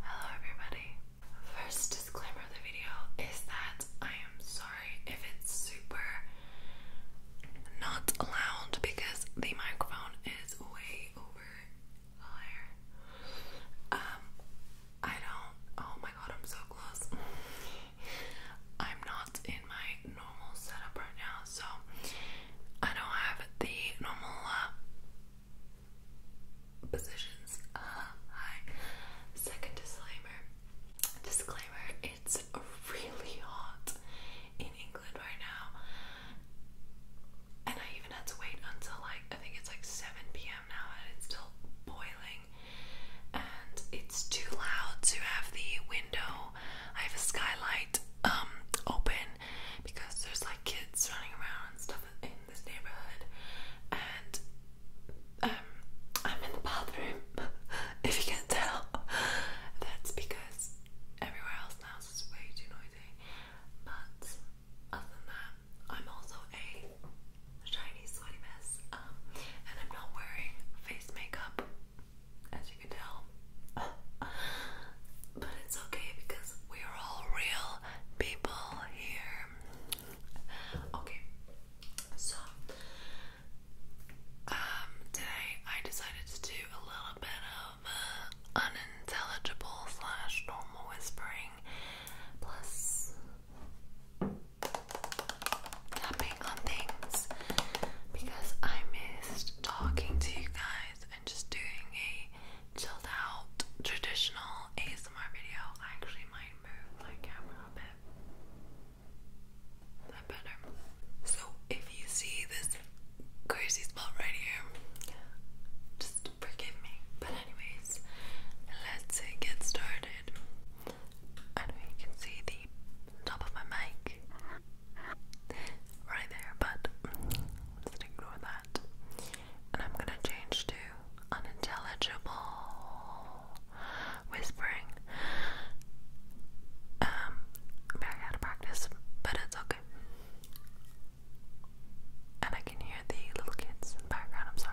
Hello, everybody. First disclaimer of the video is that I am sorry if it's super not loud because the microphone is way over higher. Um, I don't. Oh my god, I'm so close. I'm not in my normal setup right now, so I don't have the normal uh, positions. Uh, hi. Second disclaimer. Disclaimer: It's really hot in England right now, and I even had to wait until like I think it's like 7 p.m. now, and it's still boiling. And it's too loud to have the window. I have a skylight um, open because there's like kids running around and stuff in this neighborhood, and um, I'm in the bathroom. if you can tell, that's because everywhere else in the house is way too noisy. But other than that, I'm also a Chinese sweaty mess, um, and I'm not wearing face makeup as you can tell. but it's okay because we're all real people here. Okay, so um, today I decided to do a little bit of uh, unintelligible slash normal whispering plus tapping on things because I missed talking to you guys and just doing a chilled out traditional ASMR video. I actually might move my camera a bit. that better? So if you see this crazy spot right here, just forgive me. But anyways, let's get started. And we can see the top of my mic right there, but just ignore that. And I'm gonna change to unintelligible whispering. Um, very out of practice, but it's okay. And I can hear the little kids in the background, I'm sorry.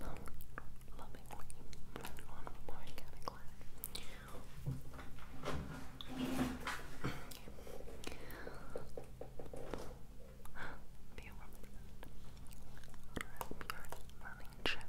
love, lovingly on organic land. Be a woman. running check.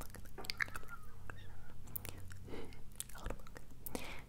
Look at the reflection. Hold a look. Relax.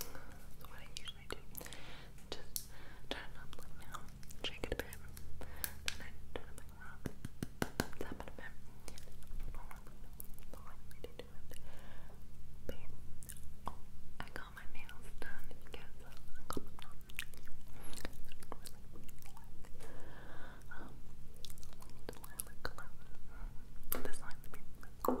That's what I usually do. just turn it up like now, shake it a bit, then turn it back around, tap it a bit. The right way to do it. But yeah. oh, I got my nails done because uh, I got them done. Um, the lilac color. This line, the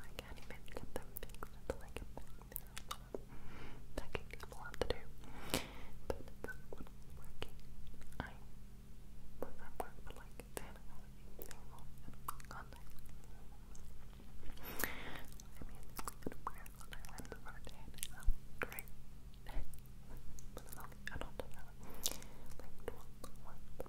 I can't even get them fixed until That can be a lot to do. I'm working. I was at work for like 10 hours on that. I mean, it's good weird I went for a day and I great. but it's only, I don't know, like 1,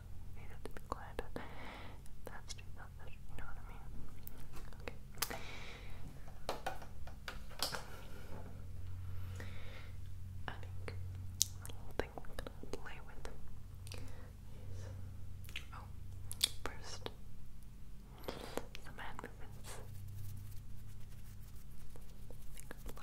you that's too selfish, you know what I mean? Okay. I think the whole thing we're gonna play with is oh, first some hand movements.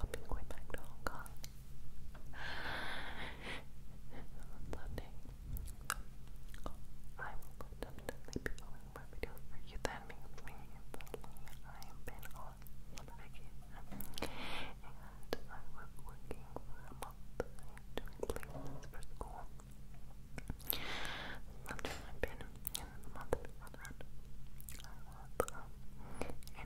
I'll be going back to Hong Kong on Sunday. Oh, I will definitely be filming more videos for you. That I've been on vacation. And I was working for a month doing placements for school. I've been in the month before that,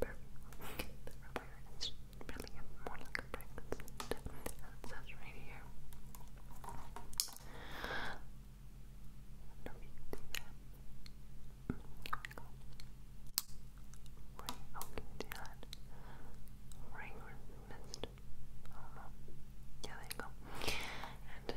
Perfect. The rubber is really more like a bracelet. And right here. No, you see that. Here we can you see that? Ring mist. Oh no. Yeah, there you go. And this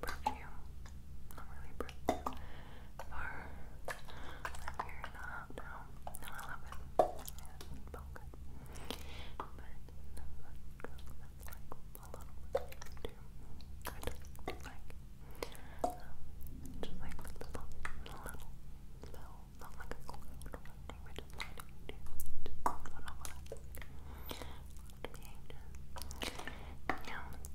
perfume. Not really perfume. Or I'm here in a hot now. No, I Yeah, it's good. But that's like a lot do. I just like um, just like the little little little not like a cool little thing, just like do to be um,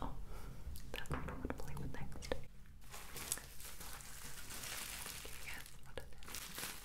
Oh, that's what I want to play next. Can you guess what can look it up